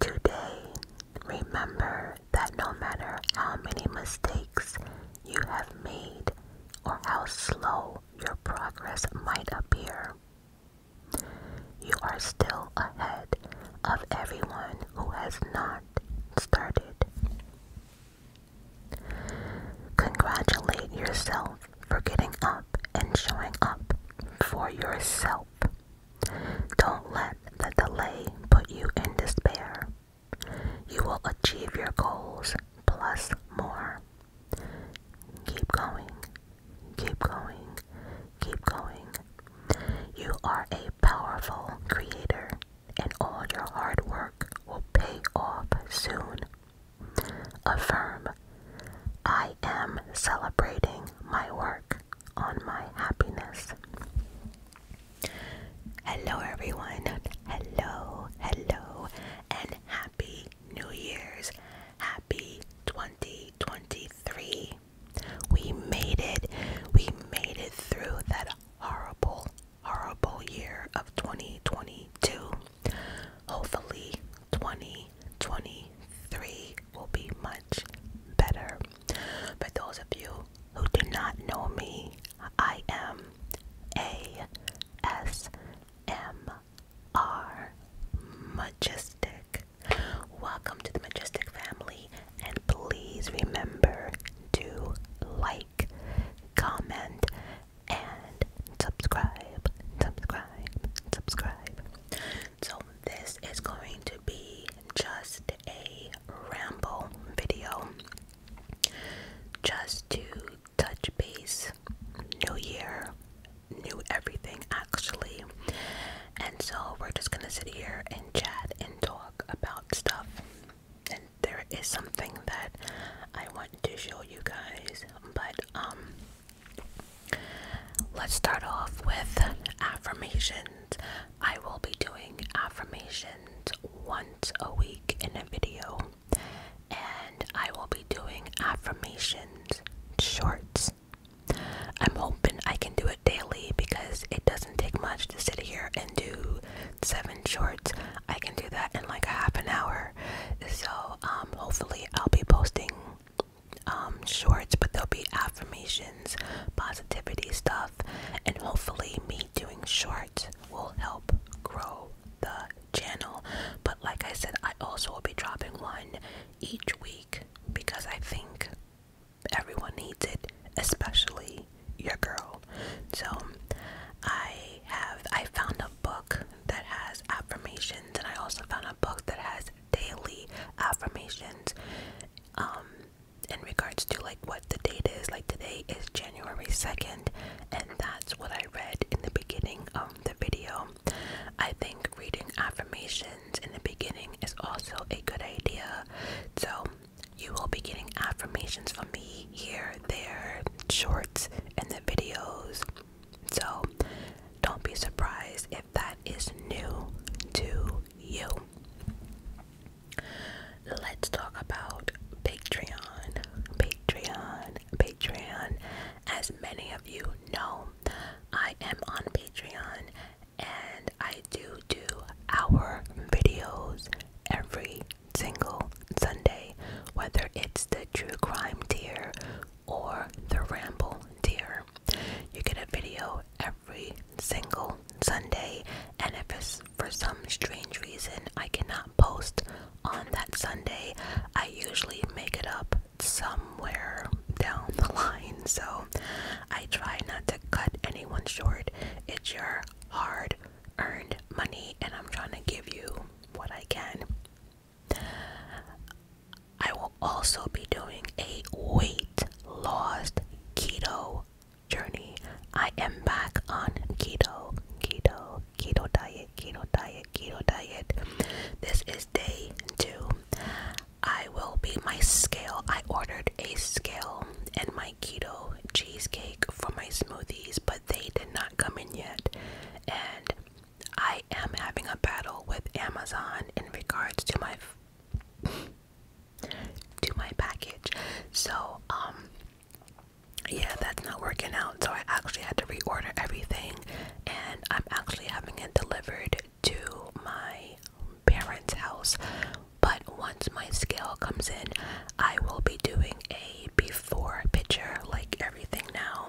Today, remember that no matter how many mistakes you have made or how slow your progress might appear, you are still ahead of everyone who has not started. Congratulate yourself for getting up and showing up for yourself. Don't let the delay put you in despair. You will achieve your goals plus more. Keep going, keep going, keep going. You are a powerful creator, and all your hard work will pay off soon. Affirm I am celebrating my work on my happiness. Hello, everyone. Hello, hello, and happy New Year's. Happy 2023. We made it. We made it through that horrible, horrible year of 2022. Hopefully, 2023 will be much better. For those of you who do not know me, I am ASMR Majestic. Welcome to the Majestic family, and please remember to like, comment, and subscribe, subscribe, subscribe. So, this is going to be just a ramble video just to touch base. New year, new everything actually. And so we're just gonna sit here and chat and talk about stuff. And there is something that I want to show you guys, but um Let's start off with affirmations. I will be doing affirmations once a week in a video, and I will be doing affirmations shorts. I'm hoping I can do it daily because it doesn't take much to sit here and do seven shorts. I can do that in like a half an hour. So, um, hopefully, I'll be posting um, shorts, but there'll be affirmations, positivity stuff, and hopefully, me doing shorts will help grow the channel. But like I said, I also will be dropping one each week because I think everyone needs it, especially your girl. So I have I found a book that has affirmations and I also found a book that has daily affirmations um, in regards to like what the date is like today is january 2nd and that's what i read in the beginning of the video i think reading affirmations in the beginning is also a good idea so you will be getting affirmations from me here there shorts and the videos so don't be surprised if that is new to you. Let's talk about Patreon. Patreon, Patreon. As many of you know, I am on Patreon and I do do our videos every single Sunday, whether it's the true crime tier or the ramble deer. You get a video every single Sunday, and if it's for some strange reason I cannot post on that Sunday, I usually make it up somewhere down the line. So I try not to cut anyone short. It's your hard earned money, and I'm trying to give you what I can. I will also be doing a weight loss keto journey. I am back on keto, keto, keto diet, keto diet, keto diet. This is day two. I will be my scale. I ordered a scale and my keto cheesecake for my smoothies, but they did not come in yet. And I am having a battle with Amazon in regards to my to my package. So, um yeah, that's not working out. So I actually had to reorder everything and I'm actually having it delivered to my parents' house. But once my scale comes in, I will be doing a before picture like everything now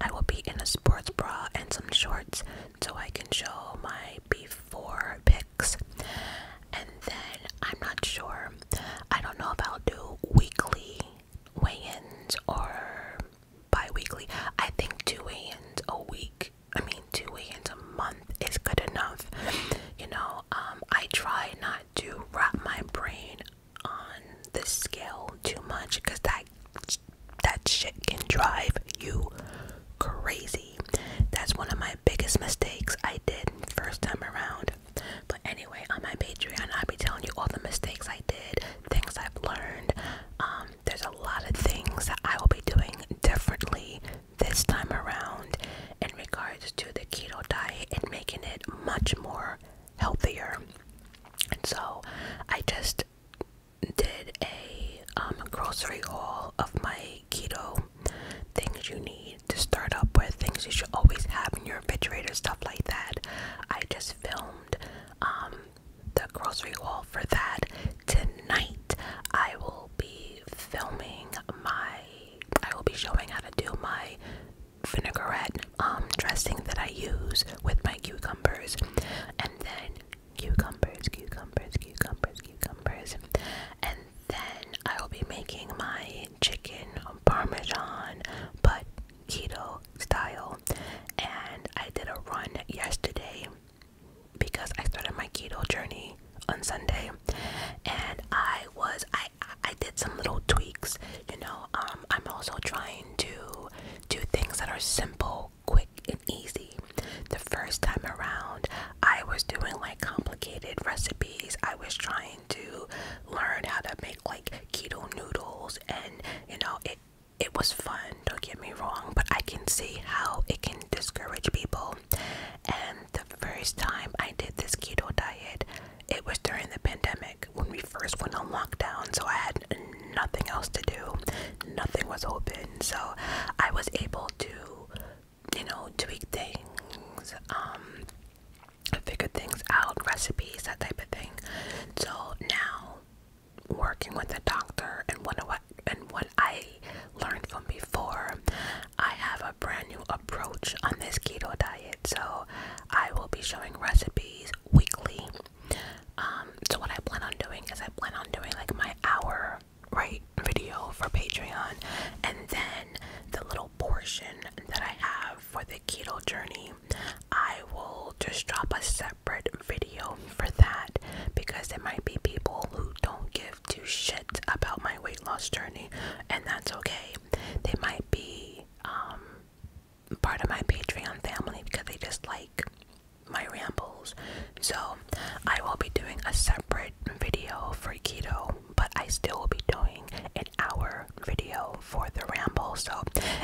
I will be in a sports bra and some shorts so I can show my before pics. And then I'm not sure. I don't know if I'll do weekly weigh ins or bi weekly. I think two weigh ins a week, I mean, two weigh ins a month is good enough. You know, um, I try not to wrap my brain on the scale too much because that that shit can drive you crazy. That's one of my biggest mistakes I did first time around. But anyway, on my Patreon, I'll be telling you all the mistakes I did, things I've learned. Um, there's a lot of things that I will be doing differently this time around in regards to the keto diet and making it much more healthier. And so I just did a um, grocery haul of my keto things you need to start up with, things you should always have in your refrigerator, stuff like that. I just filmed um, the grocery haul for that. Tonight, I will be filming my, I will be showing how to do my vinaigrette um, dressing that I use with my cucumbers. And then cucumbers, cucumbers, cucumbers, cucumbers. And then I will be making my chicken parmesan, but keto style. And I did a run yesterday because I started my keto journey on Sunday, and I was I I did some little tweaks. You know, um, I'm also trying to do things that are simple quick and easy. The first time around, I was doing like complicated recipes. I was trying to learn how to make like keto noodles, and you know, it it was fun. Don't get me wrong, but I can see how it can discourage people. And the first time I did this keto diet, it was during the pandemic when we first went on lockdown, so I had nothing else to do, nothing was open, so I was able to, you know, tweak things, um, figure things out, recipes, that type of thing. So now, working with the doctor and what and what I learned from before, I have a brand new approach on this keto diet. So I will be showing recipes weekly um, so what I plan on doing is I plan on doing like my hour right video for Patreon and then the little portion that I have for the keto journey, I will just drop a separate video for that because there might be people who don't give two shits about my weight loss journey and that's okay. They might be um, part of my Patreon family because they just like my rambles. So I will be doing a separate video for keto, but I still will be doing an hour video for the ramble. So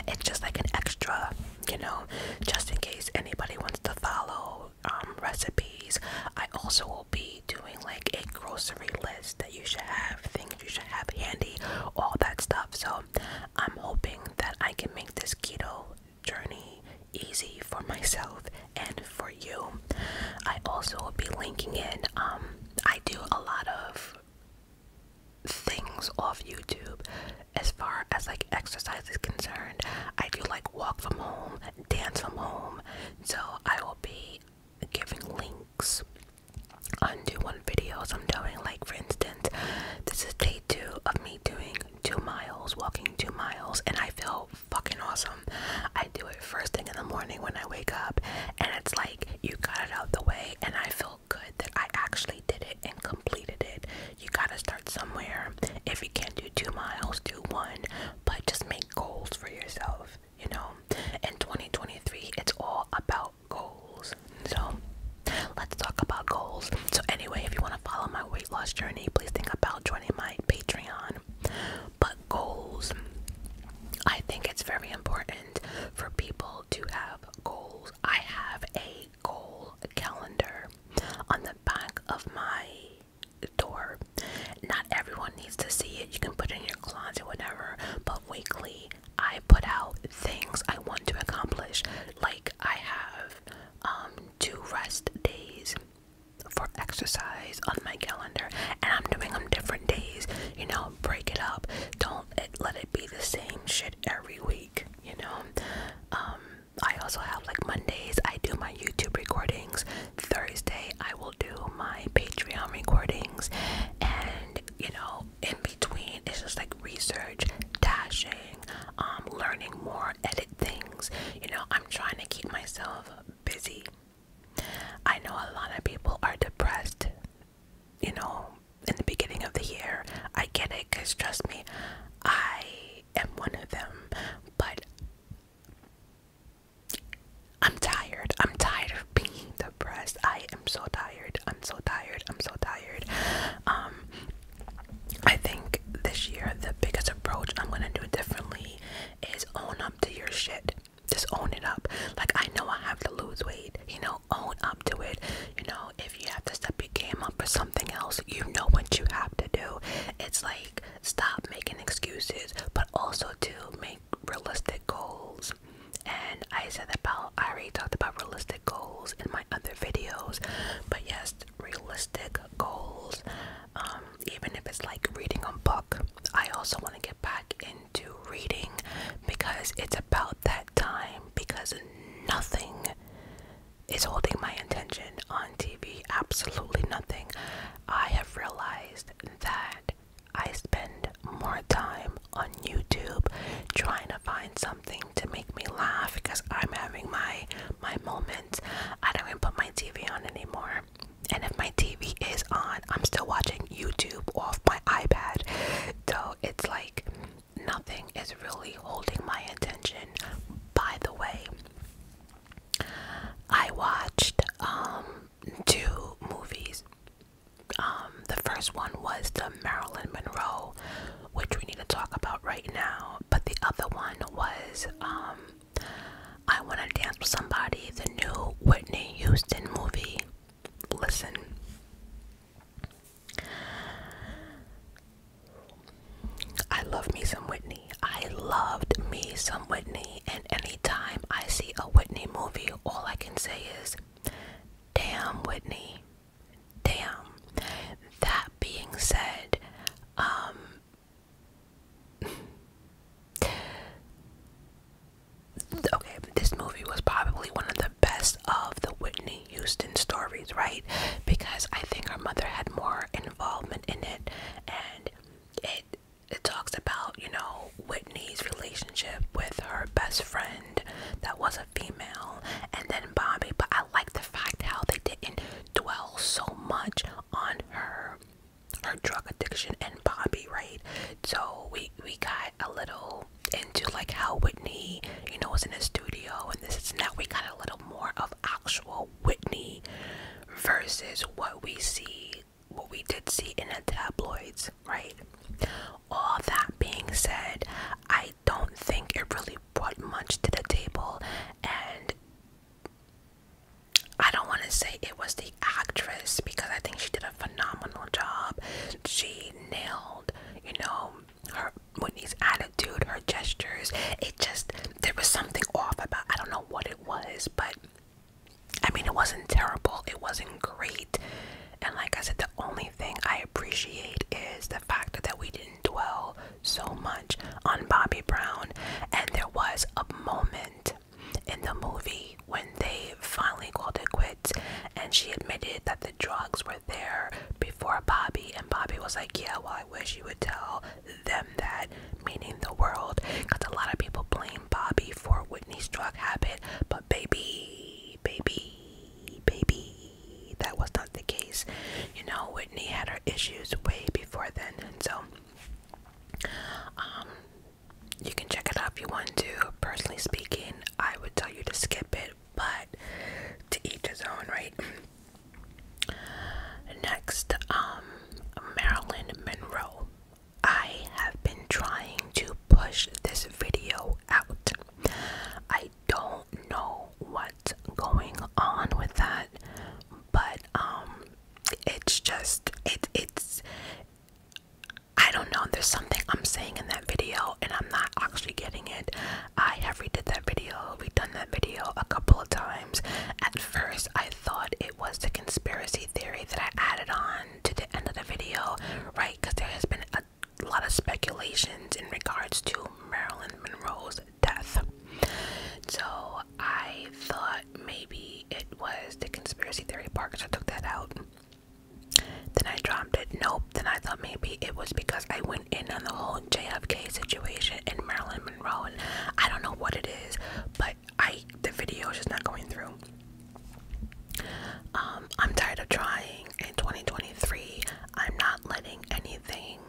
it's just like an extra, you know, just in case anybody wants to follow um, recipes. I also will be doing like a grocery list that you should have, things you should have handy, all that stuff. So I'm hoping that I can make this keto journey easy for myself and for you. I also will be linking in, um, I do a lot of things off YouTube as far as like exercise is concerned. I do like walk from home, dance from home, so I will be giving links undo one videos I'm doing like for instance this is day two of me doing two miles, walking two miles, and I feel fucking awesome. I do it first thing in the morning when I wake up, and it's like you got it out the way, and I feel good that I actually did it and completed it. You gotta start somewhere. If you can't do two miles, do one, but just make goals for yourself, you know. In 2023, it's all about goals. So let's talk about goals. So anyway, if you want to follow my weight loss journey, please think about joining my Patreon. But goals, I think it's very important for people to have goals. I have a goal calendar on the back of my door. Not everyone needs to see it. You can put it in your closet, whatever. But weekly, I put out things I want to accomplish. Like I have um, two rest days for exercise on my calendar, and I'm doing them different days. You know, break it up. Don't let it be the same shit every week. You know. Um, I also have like Mondays. I do my YouTube recordings. Thursday, I will do my Patreon recordings, and you know, in between, it's just like research, dashing, doing, um, learning more, edit things. You know, I'm trying to keep myself busy. I know a lot of people are depressed, you know, in the beginning of the year. I get it because trust me, I am one of them. But I'm tired. I'm tired of being depressed. I am so tired. I'm so tired. I'm so tired. Um, I think this year the biggest approach I'm gonna do differently is own up to your shit. Just own it up. Like I know I have to lose weight, you know, own up to it. You know, if you have to step your game up for something else, you know what you have to do. It's like stop making excuses, but also to make realistic goals. And I said about I already talked about realistic goals in my other videos, but yes, realistic goals, um, even if it's like reading a book. I also want to get back into reading because it's about that time, because nothing is holding my attention on TV. Absolutely nothing. I have realized that I spend more time on YouTube trying to find something something to make me laugh because I'm having my my moment. I don't even put my TV on anymore. And if my TV is on, I'm still watching YouTube off my iPad. So it's like nothing is really holding my attention. By the way, I watched um two movies. Um the first one was the Marilyn Monroe, which we need to talk about right now but the other one was um, I Wanna Dance with Somebody, the new Whitney Houston movie. Listen. I love me some Whitney. I loved me some Whitney, and anytime I see a Whitney movie, all I can say is, damn Whitney. Damn. That being said, um, Okay, this movie was probably one of the best of the Whitney Houston stories, right? Because I think her mother had more involvement in it and it it talks about, you know, Whitney's relationship with her best friend that was a female and then Bobby, but I like the fact how they didn't dwell so much on her her drug addiction and Bobby, right? So we we got a little into like how Whitney, you know, was in the studio and this is now we got a little more of actual Whitney versus what we see what we did see in the tabloids, right? All that being said, I don't think it really really much to the table and I don't want to say it was the actress because I think she did a phenomenal job. She nailed, you know, her Whitney's attitude, her gestures. It just there was something off about I don't know what it was, but I mean it wasn't terrible, it wasn't great. And like I said, the only thing I appreciate is the fact that we did dwell so much on Bobby Brown, and there was a moment in the movie when they finally called it quits and she admitted that the drugs were there before Bobby and Bobby was like yeah well I wish you would tell them that meaning the world because a lot of people blame Bobby for Whitney's drug habit but baby baby baby. That was not the case. You know, Whitney had her issues way before then, so um, you can check it out if you want to. Personally speaking, I would tell you to skip it, but to each his own, right? Next, um, Marilyn Monroe. I have been trying to push this video out. I don't know what's going on with that, but um, it's just it it's I don't know. There's something I'm saying in that video, and I'm not actually getting it. I have redid that video. we done that video a couple of times. At first, I thought it was the conspiracy theory that I added on to the end of the video, right? Because there has been a lot of speculations in regards to Marilyn Monroe's death. So I thought maybe it was the conspiracy theory part because I took that out. Then I dropped it. Nope. Then I thought maybe it was because I went in on the whole JFK situation and Marilyn Monroe, and I don't know what it is, but I the video is just not going through. Um, I'm tired of trying. In 2023, I'm not letting anything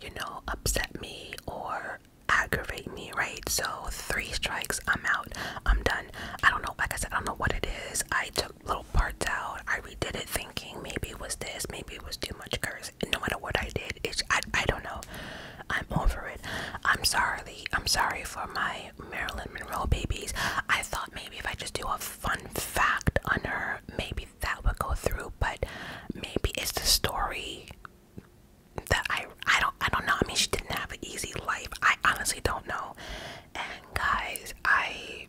you know, upset me or aggravate me, right? So, three strikes, I'm out, I'm done. I don't know, like I said, I don't know what it is. I took little parts out, I redid it thinking maybe it was this, maybe it was too much curse. No matter what I did, it's, I, I don't know. I'm over it. I'm sorry. I'm sorry for my Marilyn Monroe babies. I thought maybe if I just do a fun fact on her, maybe that would go through, but maybe it's the story that I I don't I don't know. I mean, she didn't have an easy life. I honestly don't know. And guys, I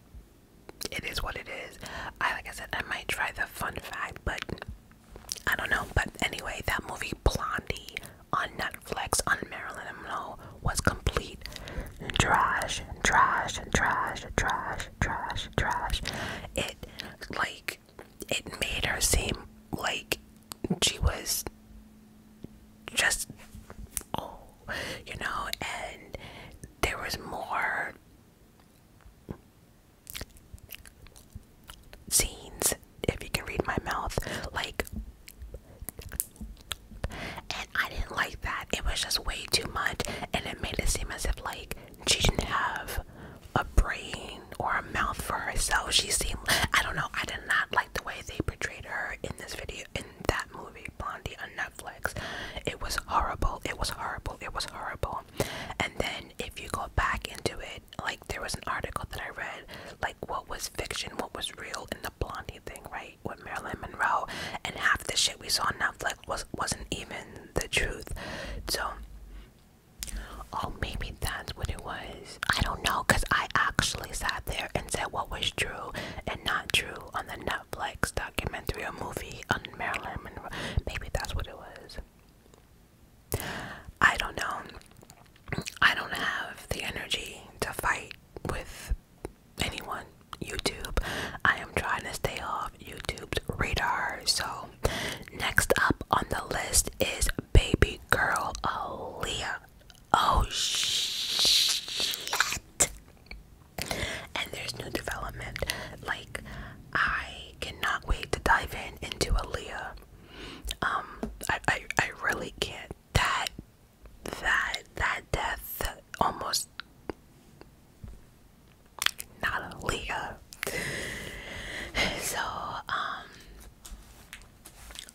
it is what it is. I like I said, I might try the fun fact, but I don't know. But anyway, that movie Blondie on Netflix on Marilyn Monroe was complete trash, trash, and trash, trash, trash, trash. It, like, it made her seem like she was just, oh, you know, and there was more scenes, if you can read my mouth, like, and I didn't like that. It was just way too much, and it made it seem as if, like, she didn't have a brain or a mouth for herself. She seemed I don't know, I did not like the way they portrayed her in this video in that movie, Blondie on Netflix. It was horrible. It was horrible. It was horrible. And then if you go back into it, like there was an article that I read, like what was fiction, what was real in the Blondie thing, right? With Marilyn Monroe and half the shit we saw on Netflix was wasn't even the truth. So, oh, maybe that's what it was. I don't know, cause I actually sat there and said what was true and not true on the Netflix documentary or movie on Marilyn Monroe. Maybe that's what it was. I don't know. I don't have the energy to fight with anyone. YouTube. I am trying to stay off YouTube's radar. So, next up on the list is baby girl Aaliyah. Oh shit! And there's new development. Like, I cannot wait to dive in into Aaliyah. Um, I, I, I really can't. That, that, that death almost not a Leah. So, um,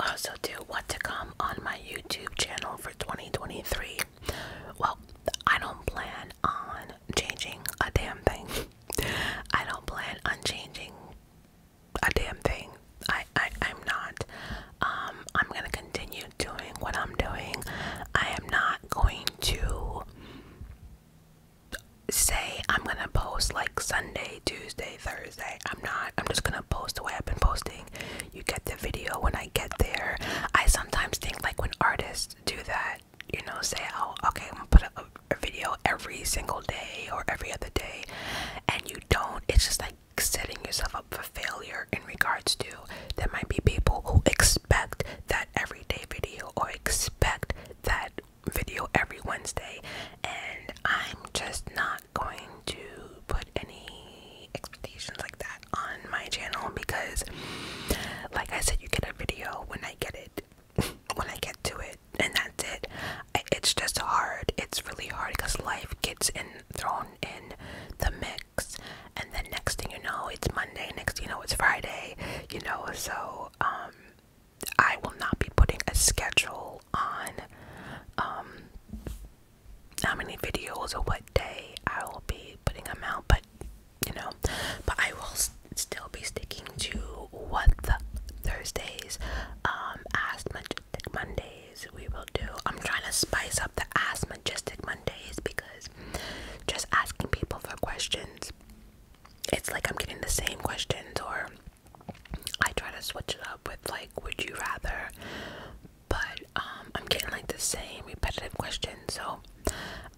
also do what to come on my YouTube channel for 2023. Well, I don't plan on changing a damn thing. I don't plan on changing a damn thing. I, I I'm not. Um, I'm gonna continue doing what I'm doing. I am not going to say I'm gonna post like Sunday, Tuesday, Thursday. I'm not. I'm just gonna post the way I've been posting. You get the video when I get there. I sometimes think like when artists do that, you know, say, oh, okay, I'm gonna put up a, a video every single day or every other day, and you don't. It's just like setting yourself up for failure in regards to there might be people who expect that everyday video or expect that video every Wednesday, and I'm just not going to put any expectations like that on my channel because, like I said, you get a video when I get it, when I get to it, and that's it. it's just hard, it's really hard because life gets in thrown in the mix, and then next thing you know it's Monday next thing you know it's Friday you know so um, I will not be putting a schedule on um, how many videos or what day I will be putting them out but you know but I will still be sticking to what the Thursdays um as majestic Mondays we will do I'm trying to spice up the as majestic Mondays because just asking people for questions it's like I'm getting the same questions, or I try to switch it up with like, would you rather? But um, I'm getting like the same repetitive questions, so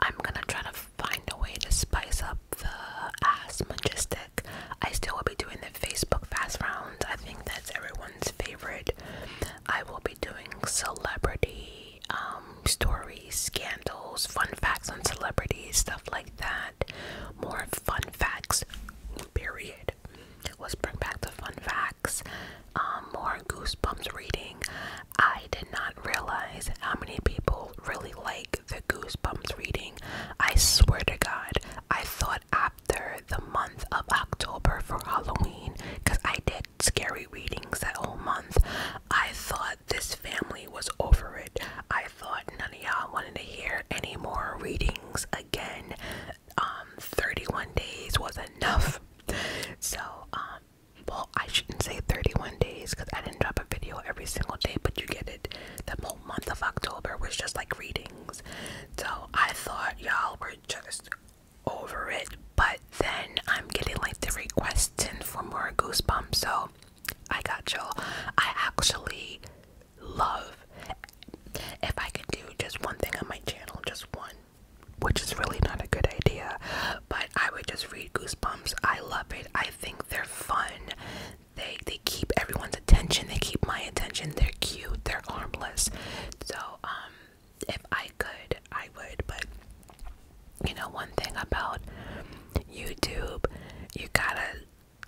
I'm gonna try to find a way to spice up the Ask Majestic. I still will be doing the Facebook fast rounds, I think that's everyone's favorite. I will be doing celebrity um, stories, scandals, fun facts on celebrities, stuff like that. More fun facts, period. Let's bring back the fun facts. Um, more Goosebumps reading. I did not realize how many people really like the Goosebumps reading. I swear to God, I thought after the month of October for Halloween, because I did scary readings that whole month, I thought this family was over it. I thought none of y'all wanted to hear any more readings again. Um, 31 days was enough. So, um, well, I shouldn't say 31 days because I didn't drop a video every single day, but you get it. The whole month of October was just like readings. So I thought y'all were just over it, but then I'm getting like the requests for more goosebumps, so I got you. I actually love if I could do just one thing on my channel, just one, which is really not a good idea, but I would just read goosebumps. I love it. I think they're fun. They they keep everyone's attention. They keep my attention. They're cute. They're harmless. So um if I I I would, but you know, one thing about YouTube, you gotta,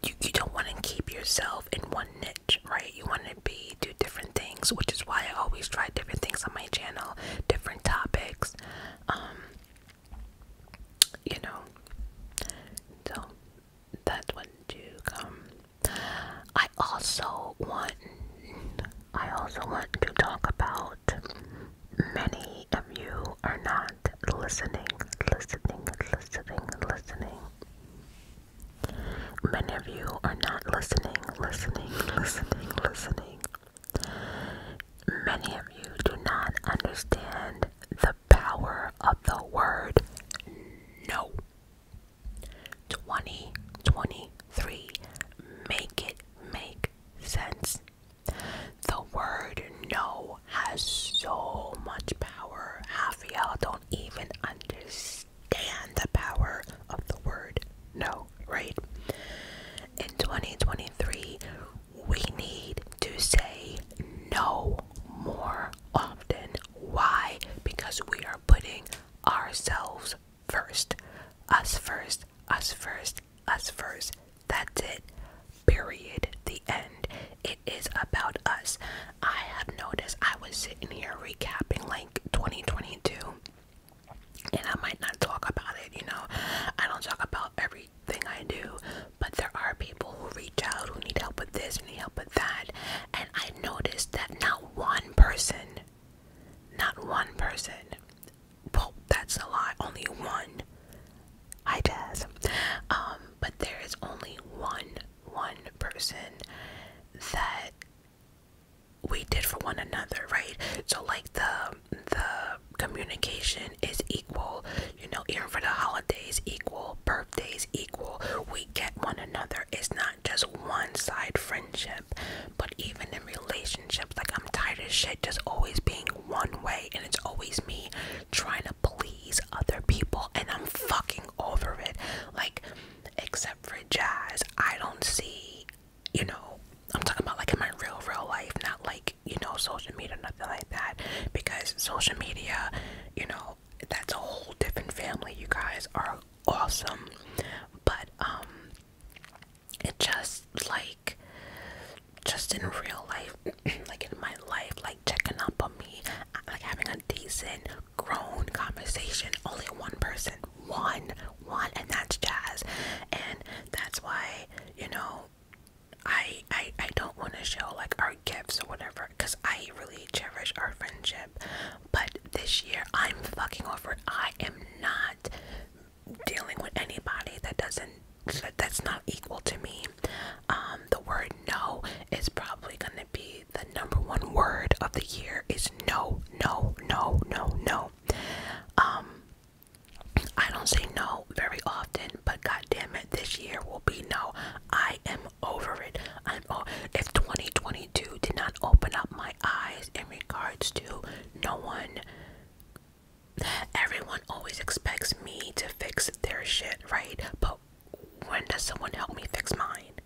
you, you don't want to keep yourself in one niche, right? You want to be, do different things, which is why I always try different things on my channel, different topics, um, you know, so that's what do come. I also want I also want to talk about many of you are not listening, listening, listening, listening. Many of you are not listening, listening, listening, listening. Many of you do not understand the power of the word no. 2023. Make it make sense. The word no has so much power. Half y'all don't even understand the power of the word no, right? In 2023, we need to say no more often. Why? Because we are putting ourselves first, us first, us first, us first. That's it. Period. The end. It is about us. I have noticed I was sitting here recapping like 2022 and I might not talk about it, you know. I don't talk about everything I do, but there are people who reach out who need help with this, who need help with that. And I noticed that not one person, not one person well, that's a lie. Only one. I guess. Um, but there is only one, one person that we did for one another, right? So, like the the communication is equal. You know, even for the holidays, equal. Birthdays, equal. We get one another. It's not just one side friendship. But even in relationships, like I'm tired of shit just always being one way and it's always me trying to please other people and I'm fucking over it. Like, except for Jazz, I don't see, you know, I'm talking about like in my real, real life, not like, you know, social media, nothing like that. Because social media, you know, that's a whole different family. You guys are awesome. But, um, it just like just in real life like in my life like checking up on me like having a decent grown conversation only one person one one and that's jazz and that's why you know i i, I don't want to show like our gifts or whatever because i really cherish our friendship but this year i'm fucking over i am not dealing with anybody that doesn't that's not equal to me um the word no is probably going to be the number one word of the year is no no no no no um i don't say no very often but god damn it this year will be no i am over it i'm oh, if 2022 did not open up my eyes in regards to no one Everyone always expects me to fix their shit, right? But when does someone help me fix mine?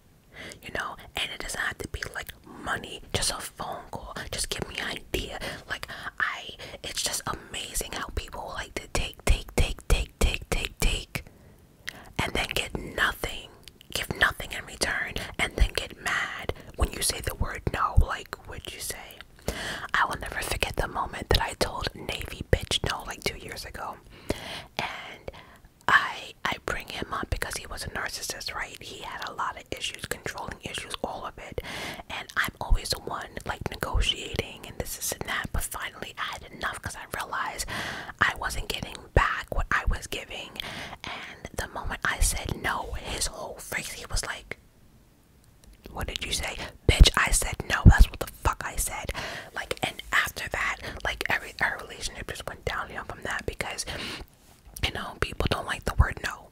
You know, and it doesn't have to be like money, just a phone call, just give me an idea. Like I it's just amazing how people like to take, take, take, take, take, take, take, and then get nothing. Give nothing in return and then get mad when you say the word no, like what'd you say? I will never forget the moment that I told Navy bitch no like two years ago. And I I bring him up because he was a narcissist, right? He had a lot of issues, controlling issues, all of it. And I'm always the one like negotiating and this, this and that. But finally I had enough because I realized I wasn't getting back what I was giving. And the moment I said no, his whole face he was like what did you say? Bitch, I said no. That's what the fuck I said. Like, and after that, like, every our relationship just went downhill from that because, you know, people don't like the word no.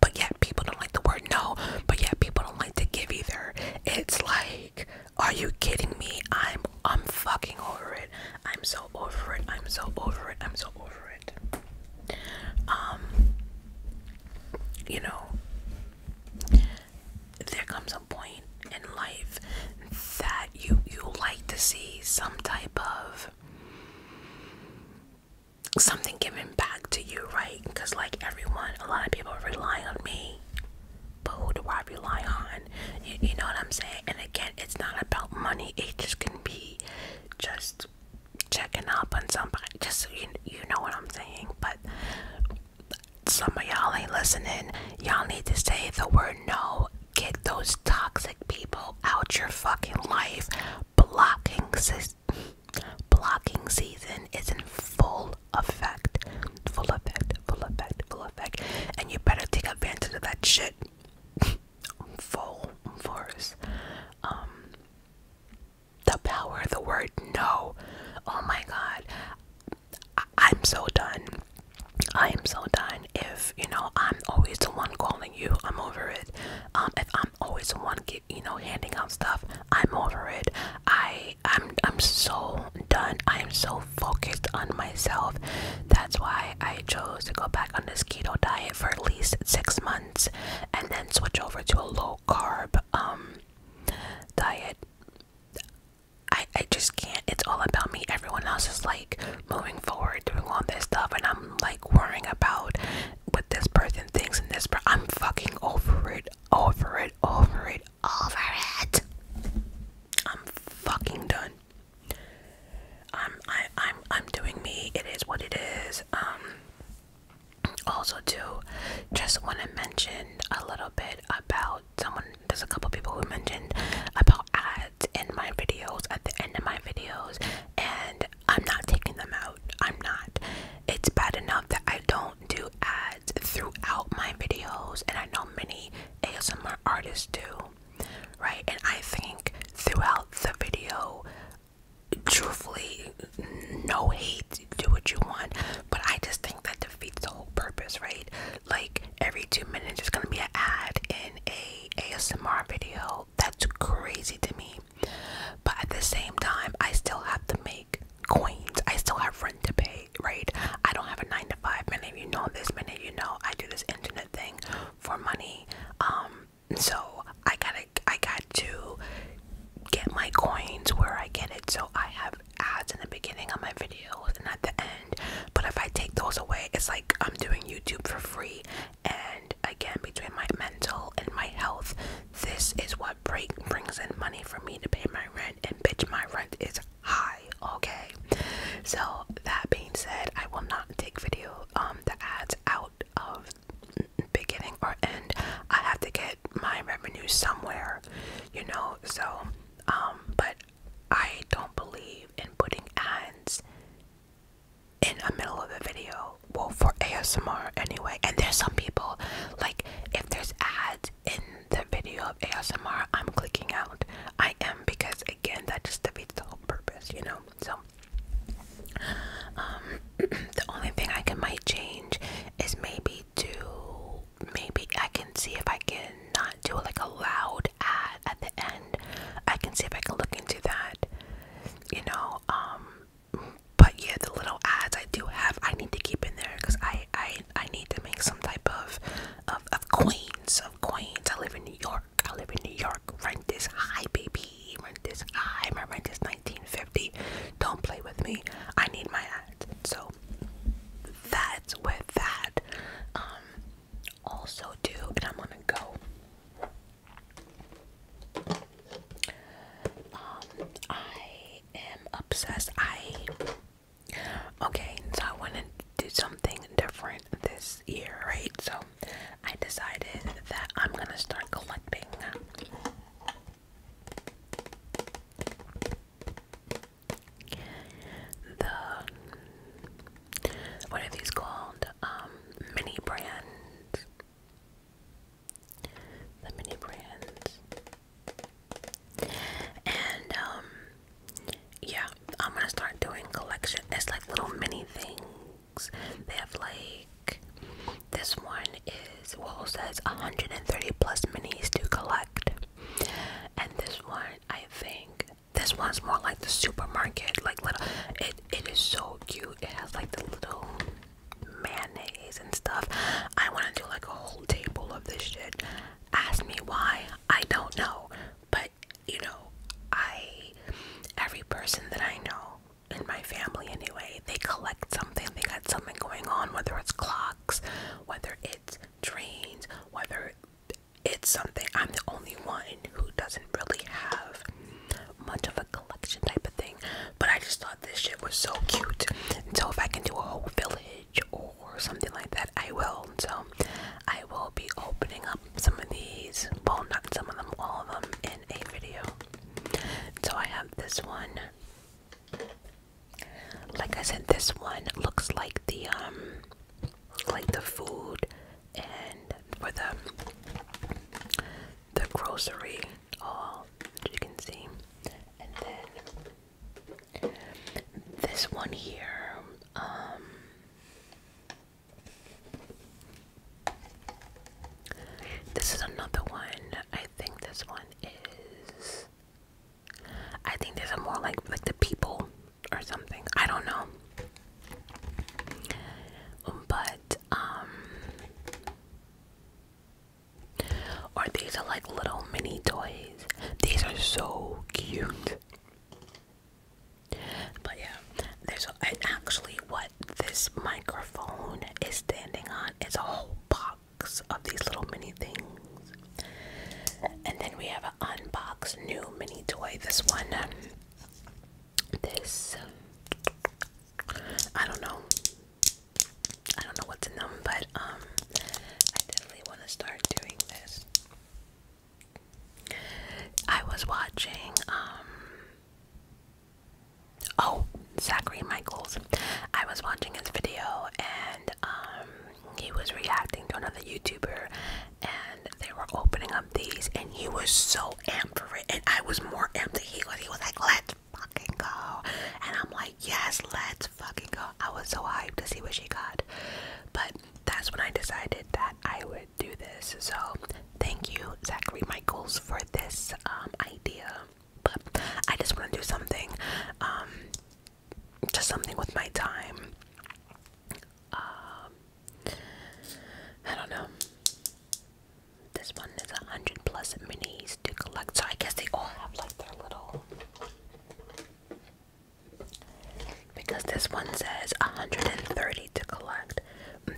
But yet, people don't like the word no. But yet, people don't like to give either. It's like, are you kidding me? I'm, I'm fucking over it. I'm so over it. I'm so over it. I'm so over it. Um, you know, there comes a point in life that you you like to see some type of something given back to you, right? Because like everyone, a lot of people rely on me. But who do I rely on? You, you know what I'm saying? And again, it's not about money. It just can be just checking up on somebody. Just so you you know what I'm saying. But some of y'all ain't listening. Y'all need to say the word no. Get those toxic people out your fucking life. Blocking se blocking season is in full effect. Full effect. Full effect. Full effect. And you better take advantage of that shit. full force. Um the power of the word no. Oh my God. I I'm so done. I am so done. If you know, I'm always the one calling you. I'm over it. Um, if I'm always the one, get, you know, handing out stuff. I'm over it. I I'm I'm so done. I am so focused on myself. That's why I chose to go back on this keto diet for at least six months months and then switch over to a low carb um diet i i just can't it's all about me everyone else is like moving forward doing all this stuff and i'm like worrying about what this person thinks and this per i'm fucking over it over it over it over it i'm fucking done i'm I, i'm i'm doing me it is what it is um also too just want to mention a little bit about someone there's a couple people who mentioned about ads in my videos at the end of my videos and i'm not taking them out i'm not it's bad enough that i don't do ads throughout my videos and i know many asmr artists do right and i think throughout the video truthfully, no hate, do what you want. But I just think that defeats the whole purpose, right? Like every two minutes, there's gonna be an ad in a ASMR video. That's crazy to me. But at the same time, I still have to make coins. I still have rent to pay, right? I don't have a nine to five minute. You know this many You know I do this internet thing for money. Um, so I gotta I got to get my coins where I get it. So I have ads in the beginning of my videos and at the end. But if I take those away, it's like I'm doing YouTube for free. And again, between my mental and my health, this is what break brings in money for me to pay my rent. And bitch, my rent is high. Okay. So that being said, I will not take video um the ads out of beginning or end i have to get my revenue somewhere you know so um but i don't believe in putting ads in the middle of the video well for asmr anyway and there's some people like if there's ads in the video of asmr i'm clicking out i am because again that just defeats the whole purpose you know so, um, the only thing I can might change is maybe to maybe I can see if I can not do like a loud ad at the end. I can see if I can look into that, you know. Um, but yeah, the little ads I do have, I need to keep in there because I, I I need to make some type of of of coins of coins. I live in New York. I live in New York. Rent is high, baby he rent this, I my rent is 1950. Don't play with me. I need my ads. So that's with that. Um, also do and I'm gonna go. Um, I am obsessed. I okay, so I wanna do something different this year, right? So I decided that I'm gonna start collecting the what are these called? Um, mini brands. The mini brands. And um, yeah, I'm gonna start doing collection. It's like little mini things. They have like this one is well says 130 plus minis to collect, and this one I think this one's more like the supermarket, like little. It it is so cute. It has like the little mayonnaise and stuff. I want to do like a whole table of this shit. Ask me why. I don't know, but you know, I every person that I know in my family anyway, they collect something, they got something going on, whether it's clocks, whether it's trains, whether it's something. I'm the only one who doesn't really have much of a collection type of thing, but I just thought this shit was so cute. so, if I can do a whole village or, something like that, I will. so, I will be opening up some of these, well, not some of them, all of them, in a video. So I have this one. Like I said, this one looks like the um like the food and for the the grocery all you can see. And then this one here, um this is another one. I think this one is. I think there's a more like like the people or something. I don't know. But um or these are like little mini toys. These are so cute. But yeah, there's actually what this microphone is standing on It's a whole box of these little mini things. And then we have a unbox new mini toy. This one, this, I don't know. I don't know what's in them, but um, I definitely want to start doing this. I was watching um Oh, Zachary Michaels. I was watching his video and um, he was reacting to another YouTuber and they were opening up these and he was so amped for it and I was more amped than he was. He was like, let's fucking go. And I'm like, yes, let's fucking go. I was so hyped to see what she got. But that's when I decided that I would do this. So Thank you, Zachary Michaels, for this um, idea. But I just want to do something, um, just something with my time. Um, I don't know. This one is a hundred plus minis to collect, so I guess they all have like their little. Because this one says 130 to collect,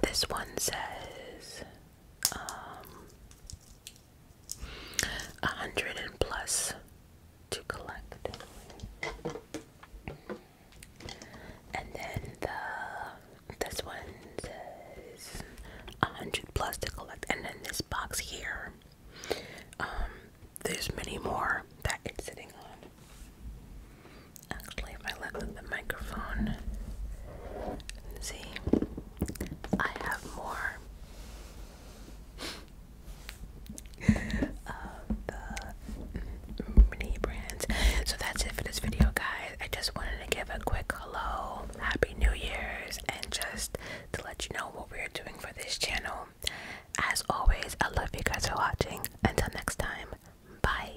this one says um, a hundred and plus to collect. And then the this one says a hundred plus to collect. And then this box here, um, there's many more that it's sitting on. Actually, if I look at the microphone, See, I have more of the mini brands. So that's it for this video, guys. I just wanted to give a quick hello, happy New Year's, and just to let you know what we're doing for this channel. As always, I love you guys for watching. Until next time, bye.